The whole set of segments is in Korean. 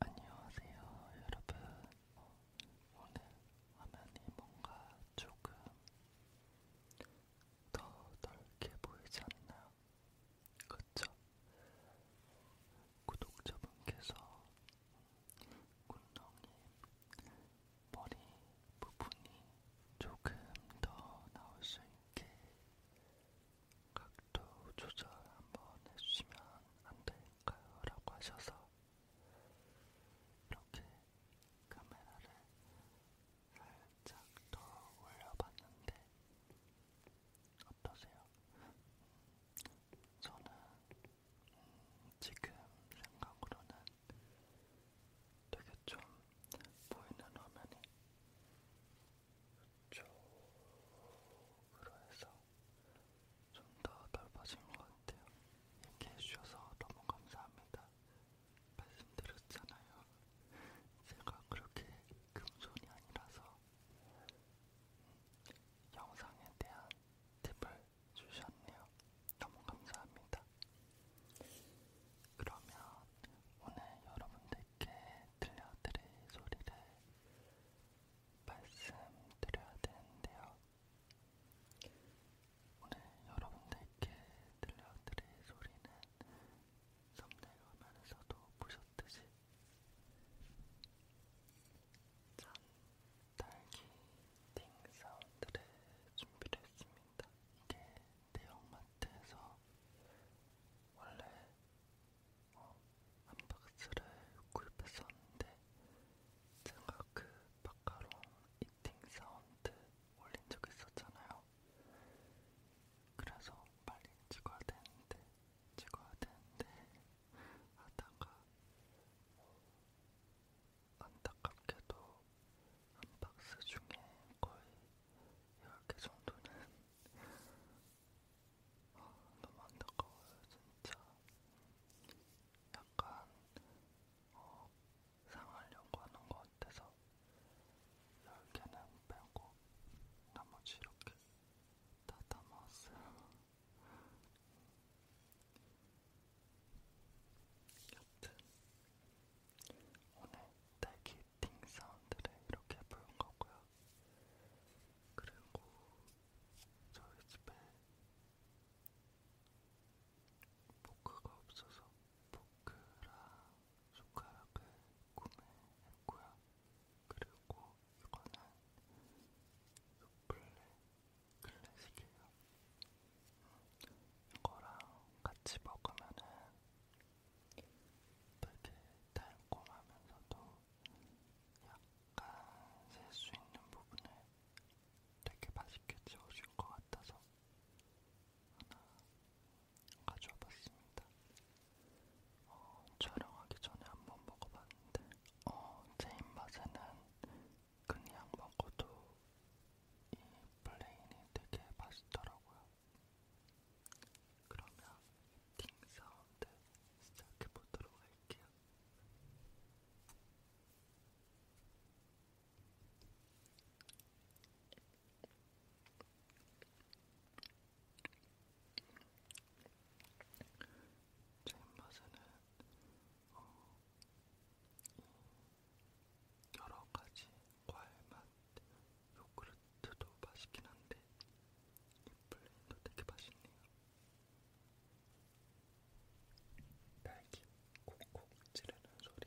안녕하세요, 여러분. 어, 오늘 화면이 뭔가 조금 더 넓게 보이지 않나요? 그쵸? 구독자분께서 음, 군덩이 머리 부분이 조금 더 나올 수 있게 각도 조절 한번 해주시면 안 될까요? 라고 하셔서 이렇게 카메라를 살짝 더 올려봤는데 어떠세요? 저는 음, 지금 생각으로는 되게 좀 보이는 화면이 이쪽으로 해서 좀 더 넓어진 것 같아요. 얘기해 주셔서 너무 감사합니다. 말씀드렸잖아요. 제가 그렇게 금손이 아니라서 영상에 대한 팁을 주셨네요. 너무 감사합니다. 그러면 오늘 여러분들께 들려드릴 소리를 말씀드려야 되는데요. 오늘 여러분들께 들려드릴 소리는 썸네일화면에서도 보셨듯이 짠 딸기 띵 사운드를 준비를 했습니다. 이게 대형마트에서 원래 어, 한 박스를 구입했었는데 제가 그 마카롱 이팅 사운드 올린 적 있었잖아요. 그래서 빨리 찍어야 되는데 찍어야 되는데 하다가 어, 안타깝게도 한 박스 중에 거의 이렇게 정도는 아, 너무 안타까워요, 진짜. 약간 어, 상하려고 하는 것 같아서 10개는 빼고 나머지 이렇게 다 담았어요. 여튼 오늘 딸기 띵 사운드를 이렇게 부른 거고요. 그리고 저희 집에 포크가 없어서 포크랑 숟가락을 구매했고요. 그리고 이거는 요플레 클래식이에요. 음, 이거랑 같이 먹으면은 되게 달콤하면서도 약간 셀 수 있는 부분을 되게 맛있게 채워줄 것 같아서 하나 가져와 봤습니다. 어, 촬영하기 전에 한번 먹어봤는데 어, 제 입맛에는 그냥 먹어도 이 플레인이 되게 맛있더라고요. 그러면 팅 사운드 시작해 보도록 할게요. 제 입맛에는 어, 여러 가지 과일맛 요구르트도 맛있긴 한데 이 플레인도 되게 맛있네요. 딸기 콕콕 찌르는 소리.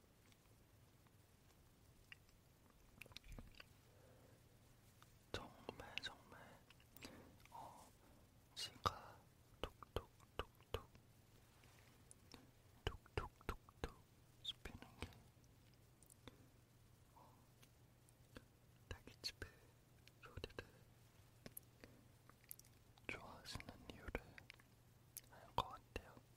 정말 정말 어 지가 톡톡톡톡 톡톡톡톡 씹히는 게 어, 딸기집의 소리를 좋아하시는 이유를 알 것 같아요.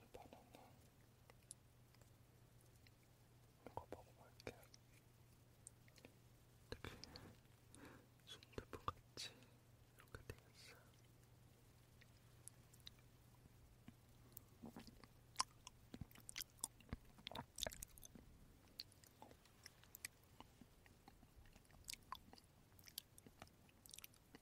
이 바나나 이거 먹어볼게요. 되게 순두부같이 이렇게 되어있어요.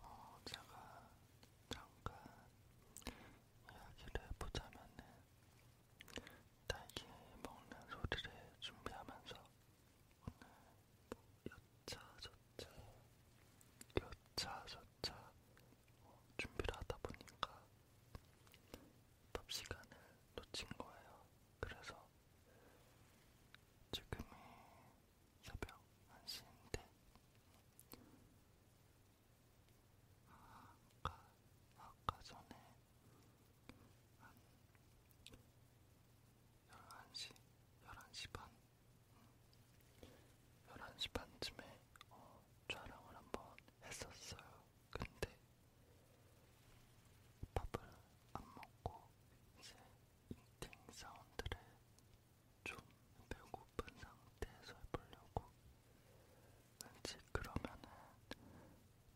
어, 제가 잠깐 이야기를 해보자면은 딸기 먹는 소리를 준비하면서 오늘 뭐 여차저차 여차저차 어, 준비를 하다 보니까 밥 시간을 놓친 거예요. 그래서 지금이 협약 안 쓰는데 아까, 아까 전에 한 11시, 11시 반 11시 음, 반쯤에 어, 촬영을 한번 했었어요. 근데 밥을 안 먹고 이제 인팅 사운드를 좀 배고픈 상태에서 해보려고. 왠지 그러면은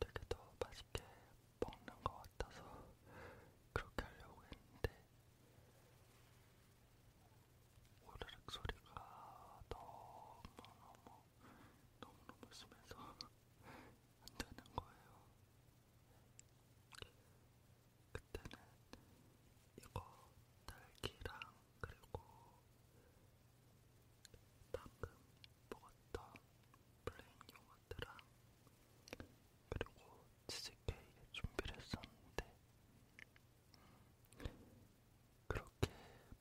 되게 더 맛있게 먹는 것 같아서 그렇게 하려고 했는데 오르륵 소리가 너무너무 너무너무 심해서 안 되는 거예요. 그때는 이거 딸기랑 그리고 방금 먹었던 플레인 요거트랑 그리고 치즈케이크 준비를 했었는데 음, 그렇게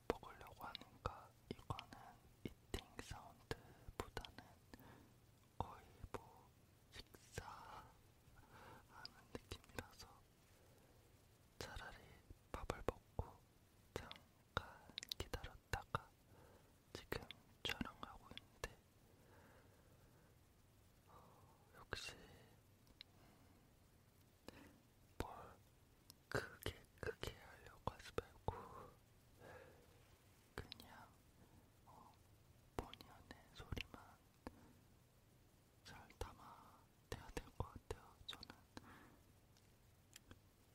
먹으려고 하니까 이거는 이팅 사운드보다는 거의 뭐 식사하는 느낌이라서 차라리 밥을 먹고 잠깐 기다렸다가 지금 촬영하고 있는데 어, 역시 음, 뭘 크게 크게 하려고 하지 말고 그냥 어, 본의 안의 소리만 잘 담아내야 될 것 같아요. 저는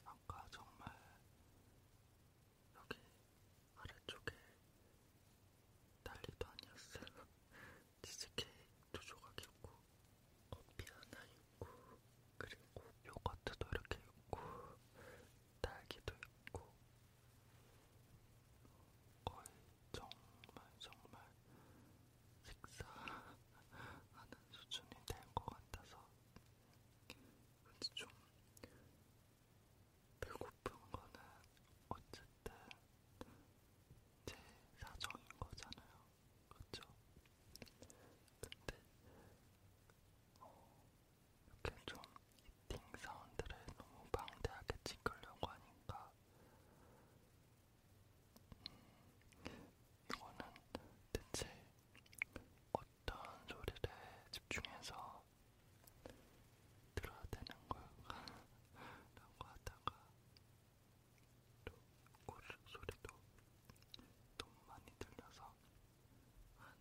아까 정말 여기 아래쪽에 난리도 아니었어요. 치즈케이크 두 조각 있고 커피 하나 있고 그리고 요거트도 이렇게 있고 딸기도 있고 거의 정말 정말 식사하는 수준이 된것 같아서 그치 좀 배고픈 거는 어쨌든 제 사정인 거잖아요. 그쵸? 근데 어, 이렇게 좀띵 사운드를 너무 방대하게 찍으려고 하니까 음, 이거는 대체 어떤 소리를 집중해서 들어야 되는 걸까? 라고 하다가 또 고르륵 소리도 너무 많이 들려서 한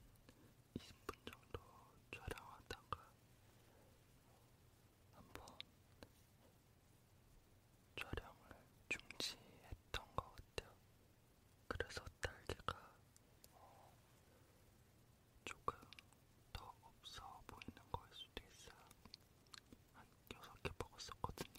20분 정도 촬영하다가 한번 촬영을 중지했던 것 같아요. 그래서 딸기가 어, 조금 더 없어 보이는 거일 수도 있어요. 한 6개 먹었었거든요.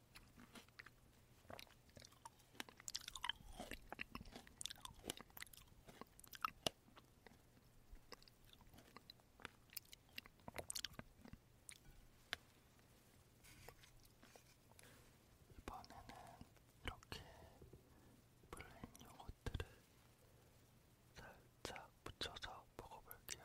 이번에는 이렇게 블랙 요거트를 살짝 묻혀서 먹어볼게요.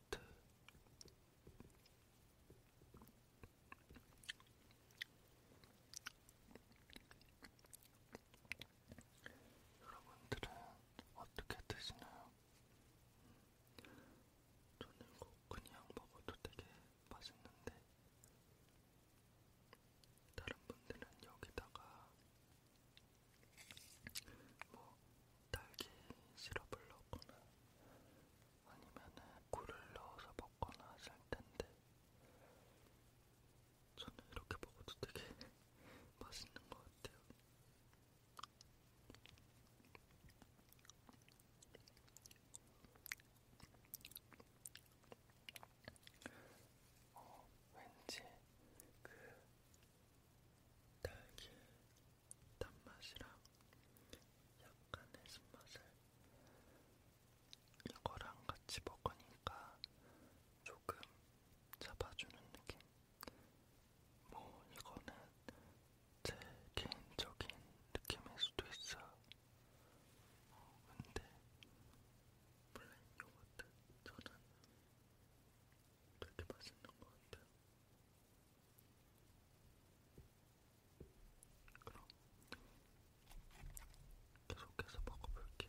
같아. 여러분들은 어떻게 드시나요? 저는 이거 그냥 먹어도 되게 맛있는데 다른 분들은 여기다가 뭐 딸기 시럽을 넣거나 아니면은 꿀을 넣어서 먹거나 하실 텐데 저는 이렇게 먹어도 되게 맛있는 것 같아요. 어, 왠지 그 달걀 단맛이랑 약간의 신맛을 이거랑 같이 먹으니까 조금 잡아주는 느낌? 뭐 이거는 제 개인적인 느낌일 수도 있어요. 어, 근데 블랙 요거트 저는 되게 맛있는 것 같아요. 그럼 계속해서 먹어볼게요.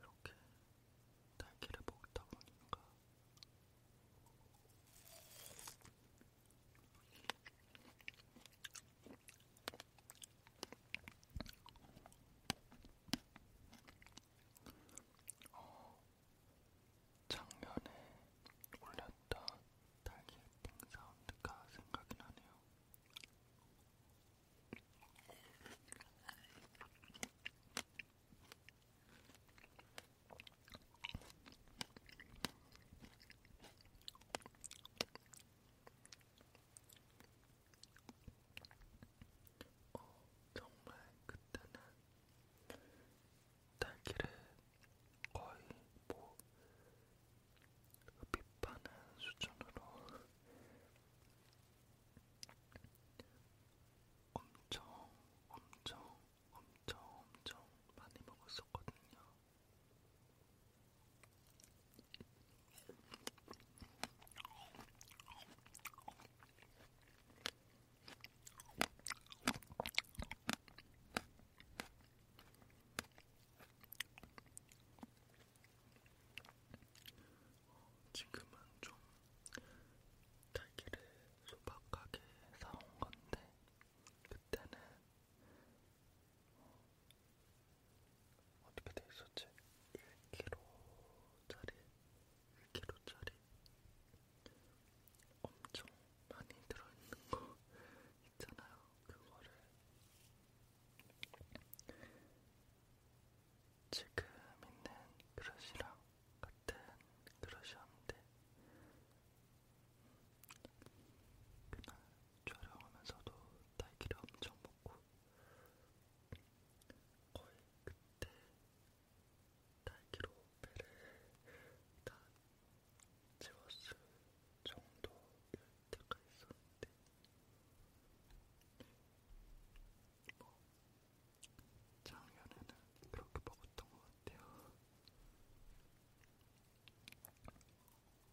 이렇게 딸기를 먹다 보니까 어, 작년에 올렸던 달걀빙 사운드가 생각이 나네요. 어, 정말 그때는 딸기를 거의 뭐 빗바는 수준으로 엄청 엄청 엄청 엄청 많이 먹었었거든요. 지금은 좀 딸기를 소박하게 사온 건데, 그때는 어떻게 돼 있었지? 1kg짜리, 1kg짜리 엄청 많이 들어있는 거 있잖아요. 그거를 지금 있는 그릇이랑 같은 그릇이었는데 그날 촬영하면서도 딸기를 엄청 먹고 거의 그때 딸기로 배를 다 채웠을 정도일 때가 있었는데 뭐 작년에는 그렇게 먹었던 것 같아요.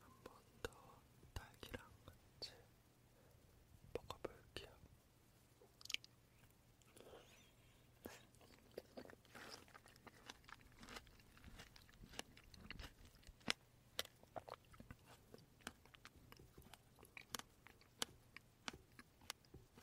한번더 딸기랑 같이 먹어볼게요.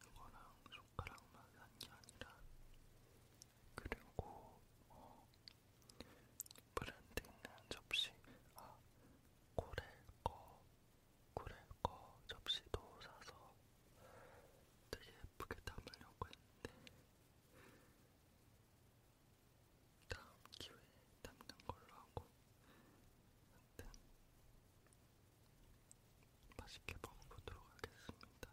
이거랑 손가락만 한 게 아니라 그리고 어, 브랜드 있는 접시 아 고래거 고래거 접시도 사서 되게 예쁘게 담으려고 했는데 다음 기회에 담는 걸로 하고 하여튼 맛있게 먹어보도록 하겠습니다.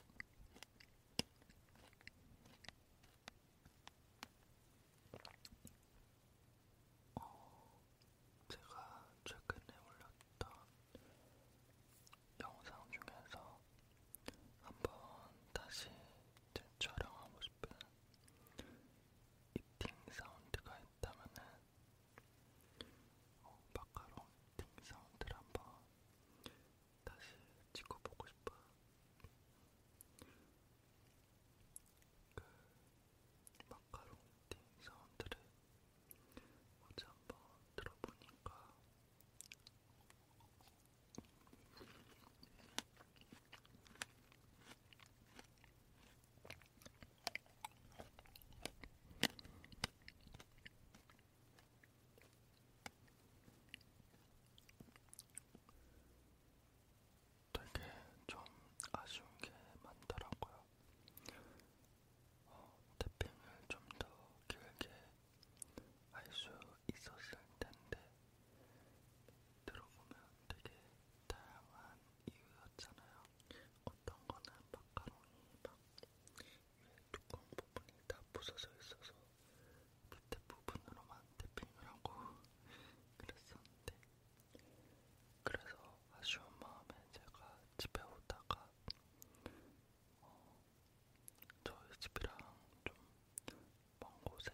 어, 제가 최근에 올렸던 영상 중에서 한번 다시 재촬영하고 싶은 이팅 사운드가 있다면은 어, 마카롱 이팅 사운드를 한번 다시 찍어보고 싶어요. 그 마카롱 띵 사운드를 어제 한번 들어보니까 되게 좀 아쉬운 게 많더라고요. 어, 태핑을 좀 더 길게 할 수 있었을 텐데 들어보면 되게 다양한 이유였잖아요. 어떤 거는 마카로니 막 뚜껑 부분이 다 부서져 있어서 밑에 부분으로만 데핑을 하고 그랬었는데 그래서 아쉬운 마음에 제가 집에 오다가 어, 저희 집이랑 좀 먼 곳에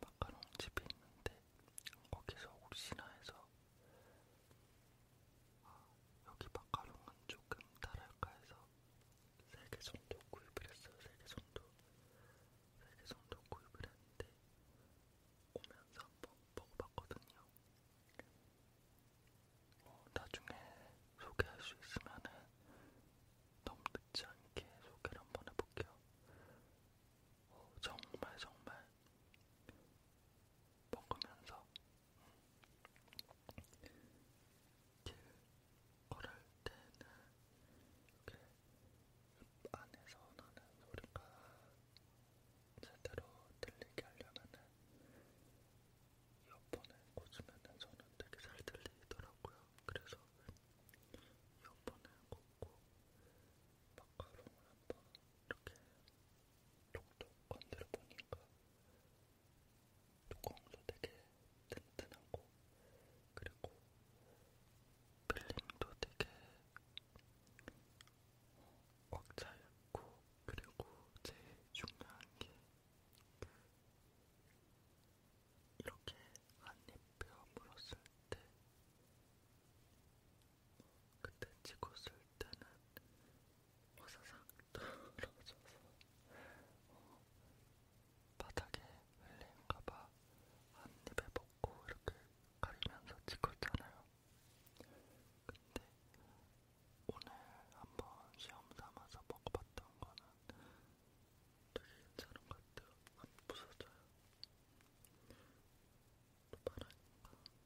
마카롱 집이 있는데 거기서 혹시나 해서 아, 여기 마카롱은 조금 달랄까 해서 3개 정도 구입을 했어요. 3개 정도. 3개 정도 구입을 했는데 오면서 한번 먹어봤거든요. 어, 나중에 소개할 수 있으면은 너무 늦지 않게 소개를 한번 해볼게요. 어, 정말 정말 먹으면서 길 걸을 때는 이렇게 입 안에서 나는 소리가 제대로 들리게 하려면은 이어폰을 꽂으면은 저는 되게 잘 들리더라고요. 그래서 이어폰을 꽂고 마카롱을 한번 이렇게 톡톡 건드려 보니까 뚜껑도 되게 튼튼하고 그리고 필링도 되게 꽉 차있고 그리고 제일 중요한 게 이렇게 한입 베어 물었을 때 그때 찍었을 때는 와사삭 어, 떨어져서 어, 바닥에 흘린가봐 한 입에 먹고 이렇게 가리면서 찍었잖아요. 근데 오늘 한번 시험 삼아서 먹어봤던 거는 되게 괜찮은 것 같아요. 안 부서져요. 또 바라니까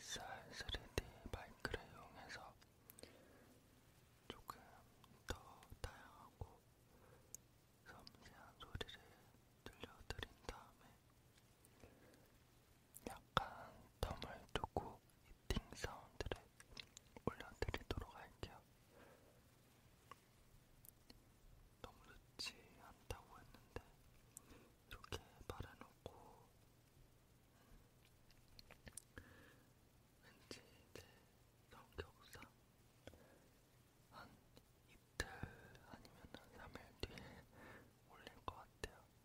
SR 3D 마이크를 이용해서 조금 더 다양하고 섬세한 소리를 들려드린 다음에 약간 텀을 두고 이팅 사운드를 올려드리도록 할게요. 너무 늦지 않다고 했는데 이렇게 말해놓고 음, 왠지 제 성격상 한 이틀 아니면 한 3일 뒤에 올릴 것 같아요.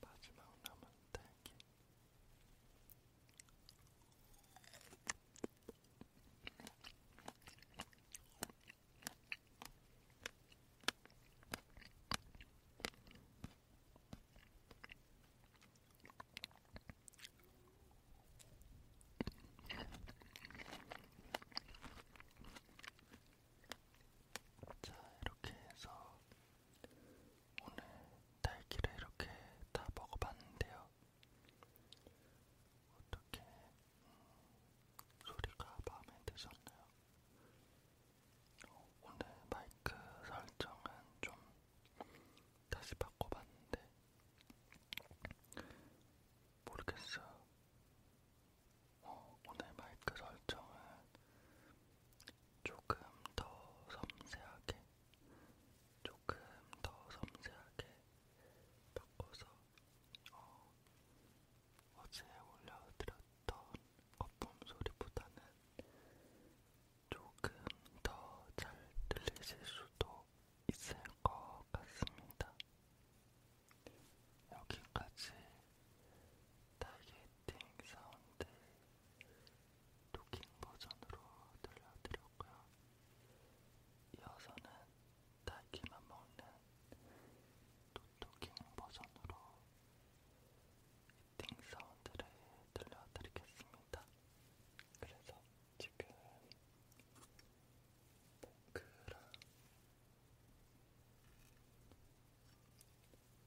마지막 남은 딸기. 자, 이렇게 해서 오늘 딸기를 이렇게 다 먹어봤는데요. 어떻게 음, 소리가 마음에 드셨나요? 어, 오늘 마이크 설정은 좀 다시 바꿔봤는데 모르겠어요. 어, 오늘 마이크 설정은 조금 더 섬세하게, 조금 더 섬세하게 바꿔서 어, 어제 올려드렸던 거품 소리보다는 조금 더 잘 들리실 수도 있을 것 같습니다. 여기까지 타겟팅 사운드 토킹 버전으로 들려드렸고요. 이어서는 딸기만 먹는 토토킹 버전으로 이팅 사운드를 들려드리겠습니다. 그래서 지금 포크랑 네,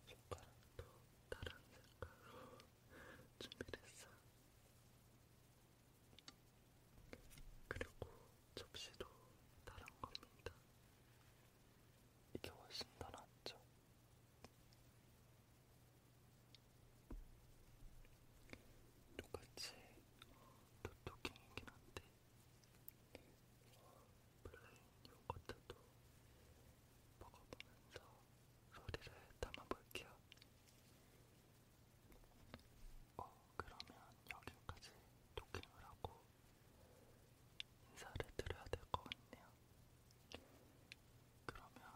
손가락도 다른 색깔로 준비를 했어요. 그리고 접시도 다른 겁니다. 이게 훨씬 더 낫죠. 똑같이 도토끼이긴 어, 한데 플레인 요거트도 먹어보면서 소리를 담아볼게요. 어, 그러면 여기까지 도킹을 하고 인사를 드려야 될 것 같네요. 그러면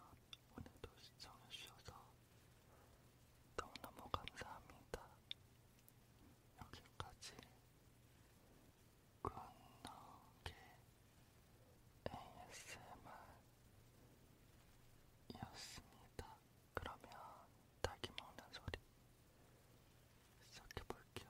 오늘도 시청해주셔서 너무너무 감사합니다. 여기까지 굿나게 ASMR이었습니다. 그러면 닭이 먹는 소리 시작해볼게요.